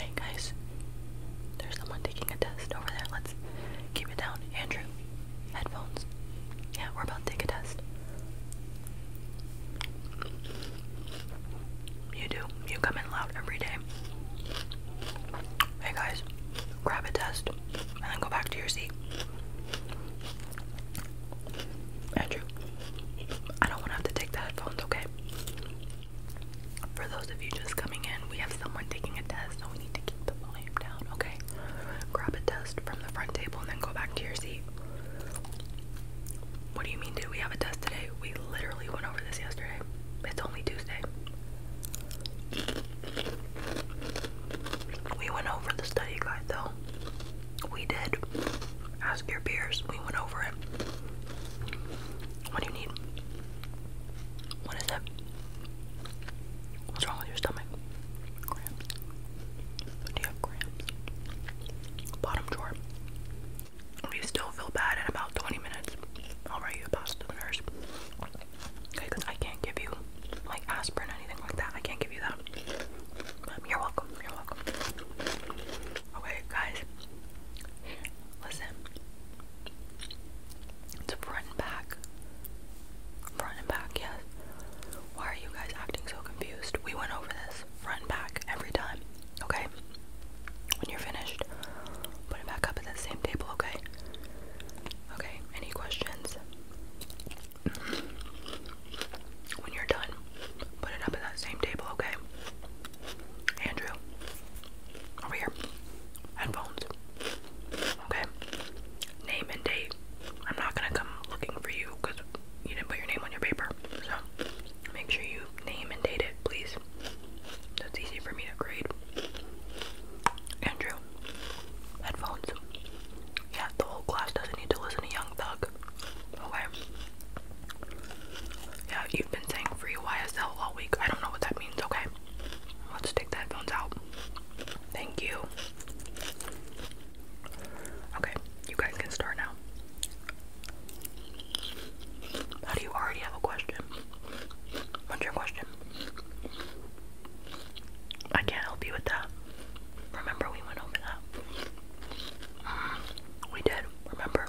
Hey guys, there's someone taking a test over there. Let's keep it down. Andrew, headphones. Yeah, we're about to take a test. You do. You come in loud every day. Hey guys, grab a test and then go back to your seat. Andrew, I don't want to have to take the headphones, okay? For those of you just coming in, we have someone taking a test, so we need to keep the volume down, okay? Grab a test from the front table and then go back to your seat. What do you mean, Do We have a test today. We literally went over this yesterday. It's only Tuesday. We went over the study guide, though. We did. Ask your peers. We went over it. What do you need? What is it? What's wrong with your stomach? Cramps. Do you have cramps? Bottom drawer. If still feel bad in about 20 minutes, I'll write you a pass to the nurse. Okay, because I can't give you like aspirin, anything like that. I can't give you that. You're welcome. You're welcome. Okay, guys. Listen. It's front and back. Front and back, yes. Why are you guys acting so confused? We went over this. Front and back every time. Okay? When you're finished, put it back up at that same table, okay? Okay, any questions? When you're done, put it up at that same table, okay? Andrew, over here. Headphones. Okay? Name and date. I'm not gonna come looking for you because you didn't put your name on your paper. So make sure you name and date it, please. That's easy for me to grade. Andrew, headphones. Yeah, the whole class doesn't need to listen to Young Thug. Okay. Yeah, you've been saying free YSL all week. I don't know what that means, okay? Let's take the headphones out. Thank you. Okay, you guys can start now. How do you already have a question? What's your question? I can't help you with that. Remember we went over that? Mm, we did, remember?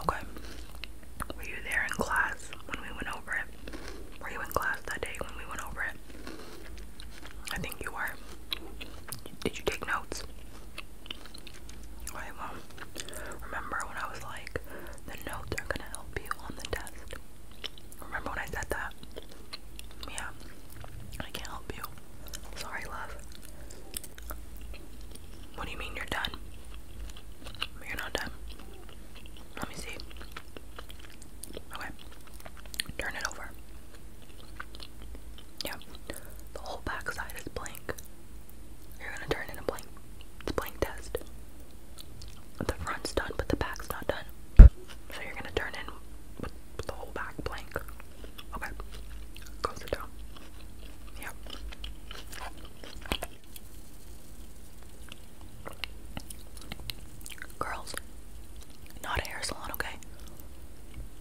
Okay. Were you there in class when we went over it? Were you in class that day when we went over it? I think you were. Did you take notes? Okay, well, um, remember when I was like, the notes are gonna help you on the test. Remember when I said that? Yeah. I can't help you. Sorry, love. What do you mean you're done? You're not done. Let me see. Okay. Turn it over. Yeah. The whole back is blank. You're gonna turn in blank. It's blank test the front's done, but the back's not done. so you're gonna turn in the whole back blank. Okay, go sit down. Yep. Girls, not a hair salon, okay?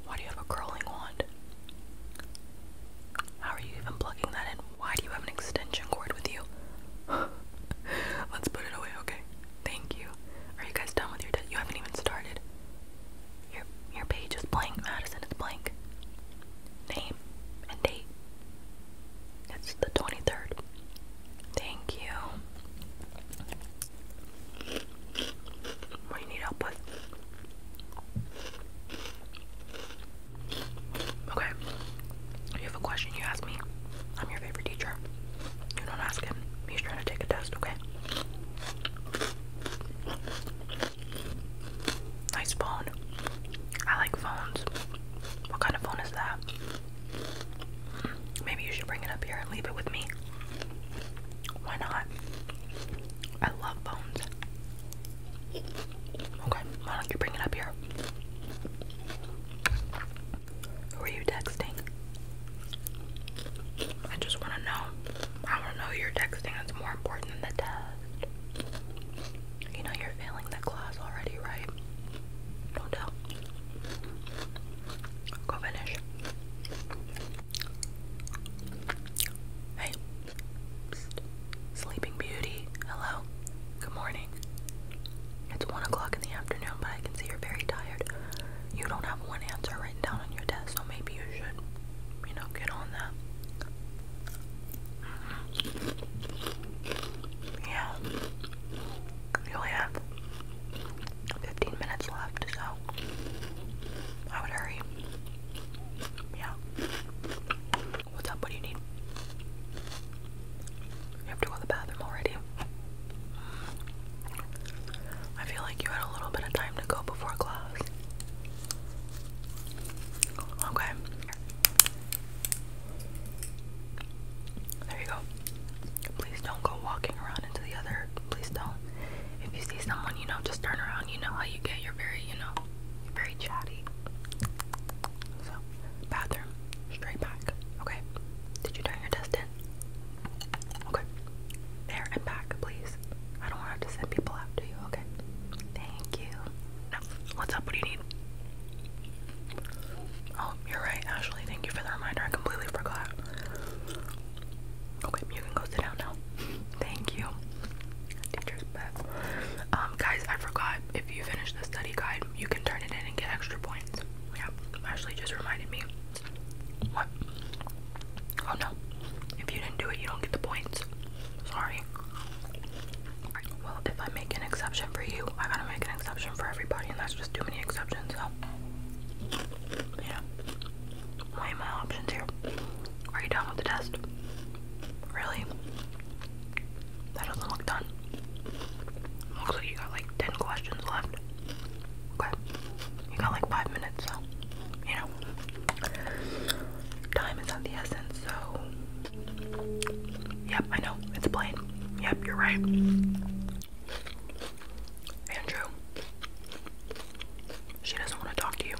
Why do you have a curling wand? How are you even plugging that in? Why do you have an extension cord with you? Let's put it away, okay? Thank you. Are you guys done with your You haven't even started. Your your page is blank, Madison. It's blank. Name and date. It's the 23rd. Thank you. do you need help with? Okay. You have a question you ask me. I'm your favorite teacher. You don't ask him. He's trying to take a test, okay? Nice phone. I like phones. What kind of phone is that? Maybe you should bring it up here and leave it with me. Why not? I love phones. Okay, why don't you bring it up here? Who are you texting? I just want to know. I want to know you're texting. It's more important than the test. You know you're failing the class already, right? Don't tell. Go finish. Hey. Sleeping Beauty. Hello. Good morning. It's one o'clock in the afternoon, but I can see you're very tired. You don't have one answer written down on your desk, so maybe you should, you know, get on that. Yeah. You only have 15 minutes left, so I would hurry. Yeah. What's up? What do you need? You have to go to the bathroom already. I feel like you had a little bit of time to go before class. Okay. There you go. Please don't go walking around into the other. Please don't. If you see someone, you know, just turn around. You know how you get. You're very, you know, very chatty. So, bathroom, straight back. Okay. Did you turn your test in? Okay. There and back, please. I don't want to send people out to you. Okay. Thank you. Now, what's up? What do you need? Oh, you're right, Ashley. Thank you for the reminder. I completely forgot. Okay, you can go sit down now. Thank you. Teacher's pet. Um, guys, I forgot if you finish the study guide, you can turn it in and get extra points. Yeah, Ashley just reminded me. What? Oh no. If you didn't do it, you don't get the points. Sorry. Well, if I make an exception for you, I gotta make an exception for everybody, and that's just too many exceptions, Yeah. What are my options here? Are you done with the test? Really? That doesn't look done. Looks like you got like 10 questions left. Okay. You got like 5 minutes, so, you know. Time is of the essence, so. Yep, I know. It's plain. Yep, you're right. Andrew. She doesn't want to talk to you.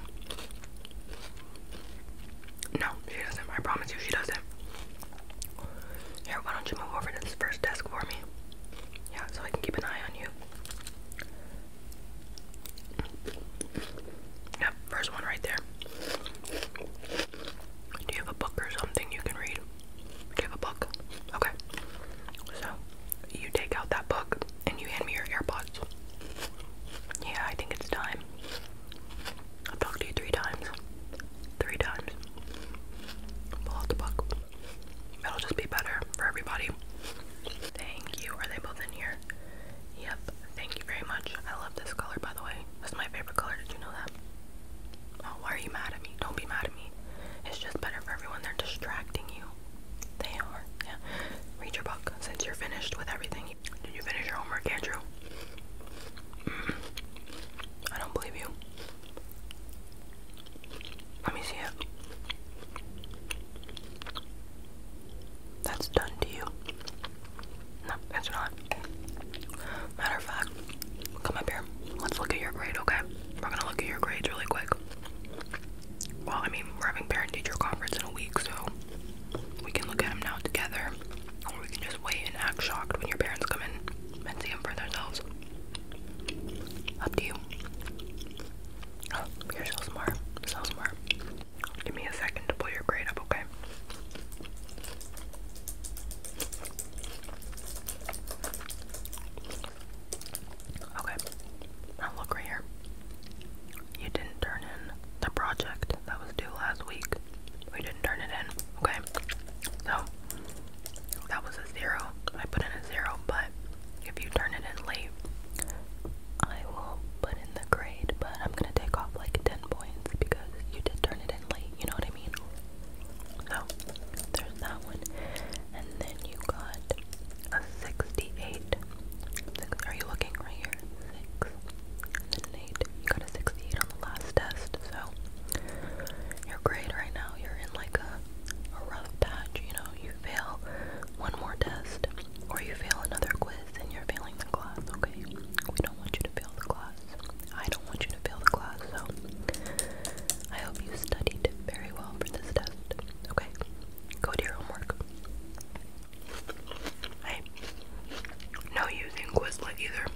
No, she doesn't. I promise you, she doesn't. Here, why don't you move over to this first desk for me? Yeah, so I can keep an eye on you. Yep, first one right there. Do you have a book or something you can read? Do you have a book? Okay. So, you take out that book and you hand me your AirPods. Yeah, I think it's time. I've talked to you three times. Three times. Pull out the book. It'll just be better for everybody. Thank you. Are they both in here? Yep. Thank you very much. I love this color, by the way. It's my favorite color. Did you know that? Oh, why are you mad at me? Don't be mad at me. It's just better for everyone. They're distracting you. They are. Yeah. Read your book. Since you're finished with everything, did you finish your homework, Andrew? Mm. I don't believe you. Let me see it. That's done to you. No, that's not. Matter of fact, come up here. Let's look at your grade, okay? We're gonna look at your grades really quick. Well, I mean, we're having parent teacher conference in a week, so we can look at them now together, or we can just wait and act shocked when your parents come in and see them for themselves. Up to you. Oh, you're so smart. So smart. Give me a second to pull your grade up, okay? Okay. look right here you didn't turn in the project that was due last week. We didn't turn it in, okay? So, that was a zero. I put in a zero, but if you turn it in late, I will put in the grade, but I'm gonna take off like 10 points because you did turn it in late, you know what I mean? So, there's that one. And then you got a 68. Six, are you looking right here? 6 and 8. You got a 68 on the last test, so you're right now. You're in like a rough patch, you know. You fail one more test, or you fail another quiz, and you're failing the class, okay? We don't want you to fail the class. I don't want you to fail the class, so I hope you studied very well for this test, okay? Go do your homework. Hey, no using Quizlet either.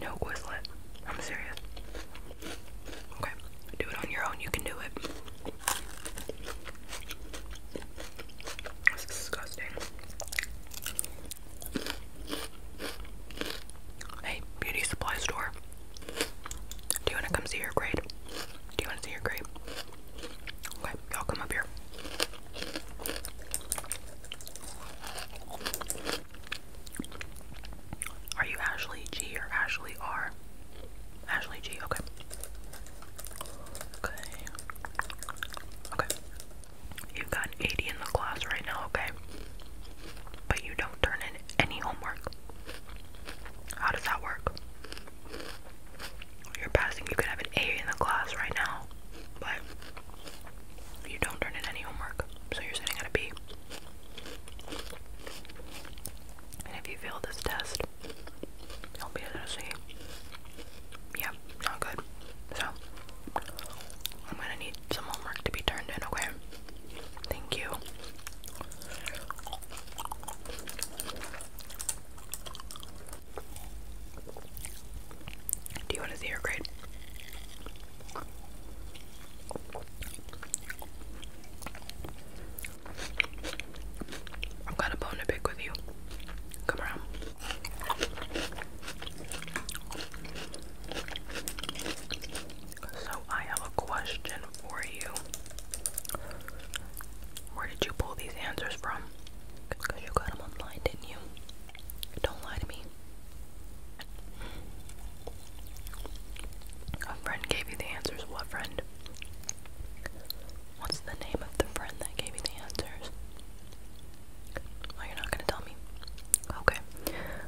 No Quizlet. I'm serious. Okay, do it on your own. You can do it. That's disgusting. Hey, beauty supply store. Do you want to come see your grade? Do you want to see your grade? Okay, y'all come up here. Are you Ashley G or Ashley R? Ashley G, okay. Okay. Okay. You've got 80 in the class right now, okay? But you don't turn in any homework. How does that work? You're passing, you could have an A in the class right now, but you don't turn in any homework, so you're sitting at a B. And if you fail this test, you'll be at a C. Yep, not good. So, I'm gonna need some homework to be turned in, okay? Thank you. Do you want to see her grade? I've got a bone to pick with you. Come around. So I have a question for you. Where did you pull these answers from? Because you got them online, didn't you? Don't lie to me. A friend gave you the answers. What friend? What's the name of the friend that gave you the answers? Well, you're not gonna tell me. Okay.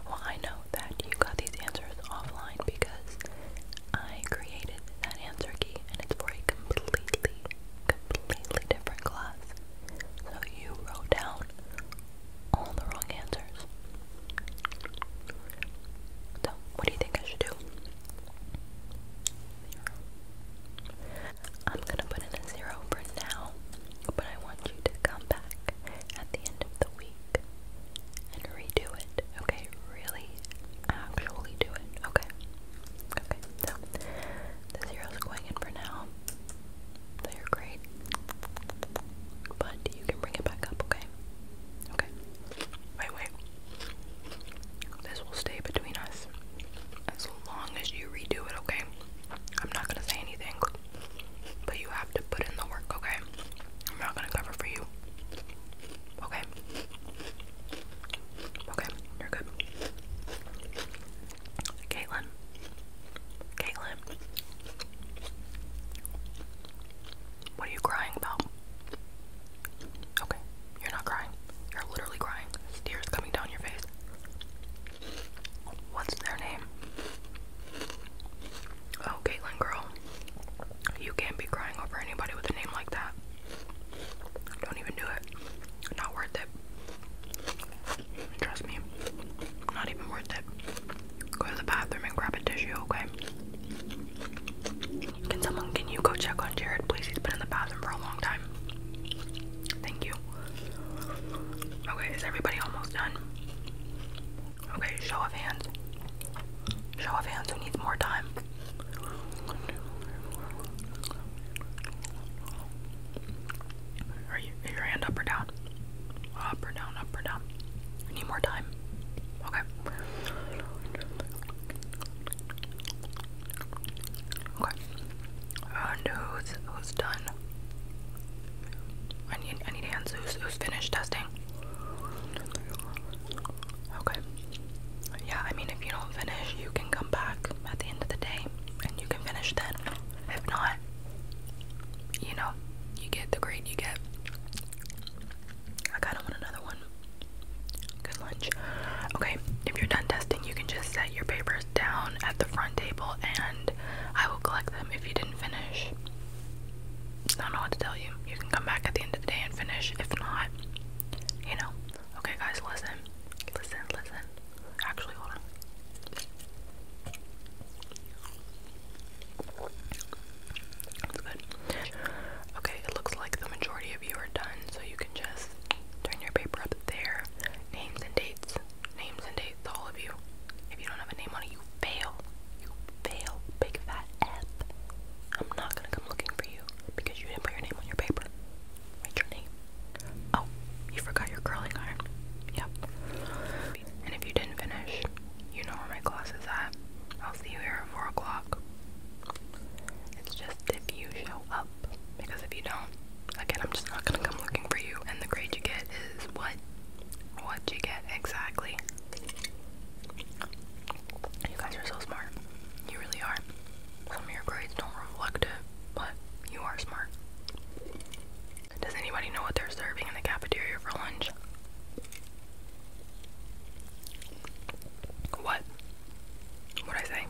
Well, I know that you got these answers offline because I created that answer key and it's for a completely, completely different class. So you wrote down all the wrong answers. So, what do you think I should do? i I'm gonna put in a zero for now, but I want you to come back at the end of the week and redo it. Okay, really actually do it. Okay. Okay, so the zero's going in for now. They're great. But you can bring it back up, okay? Okay. Wait, wait. This will stay between us as long as you redo it, okay? I'm not gonna say anything, but you to put in the work, okay? I'm not gonna cover for you. Okay. Okay, you're good. Caitlin. Caitlin. What are you crying about? Okay, you're not crying. You're literally crying. Tears coming down your face. What's their name? Oh, Caitlin, girl. You can't be crying over anybody with a name like that. Don't even do it. Not worth it. Trust me. Not even worth it. Go to the bathroom and grab a tissue, okay? Can someone, can you go check on Jared, please? He's been in the bathroom for a long time. Thank you. Okay, is everybody almost done? Okay, show of hands. Show of hands who needs more time. Are you your hand up or down? Up or down, up or down. need more time. Okay. Okay. who's who's done? I need I need hands who's who's finished testing. Okay. Yeah, I mean if you don't finish you can come back at the end of the day and you can finish then. If not, you know, you get the grade you get. I kinda want another one. Good lunch. Okay, if you're done testing you can just set your papers down at the front table and I will collect them if you didn't finish. I don't know what to tell you. You can come back at the end of the day and finish. If not, you know. Okay, guys, listen. Listen, listen. Actually, hold on. That's good. Okay, it looks like the majority of you are done, so you can just turn your paper up there. Names and dates names and dates, all of you. If you don't have a name on it, you fail. You fail, big fat F. I'm not gonna come looking for you because you didn't put your name on your paper. Write your name. Oh, you forgot your curling iron. Yep. And if you didn't finish, you know where my class is at. I'll see you here at 4 o'clock. It's just if you show up. Because if you don't, Again, I'm just not gonna come looking for you, and the grade you get is what? What you get exactly. You guys are so smart. You really are. Some of your grades don't reflect it, but you are smart. Does anybody know what they're serving in the cafeteria for lunch? What? What'd I say?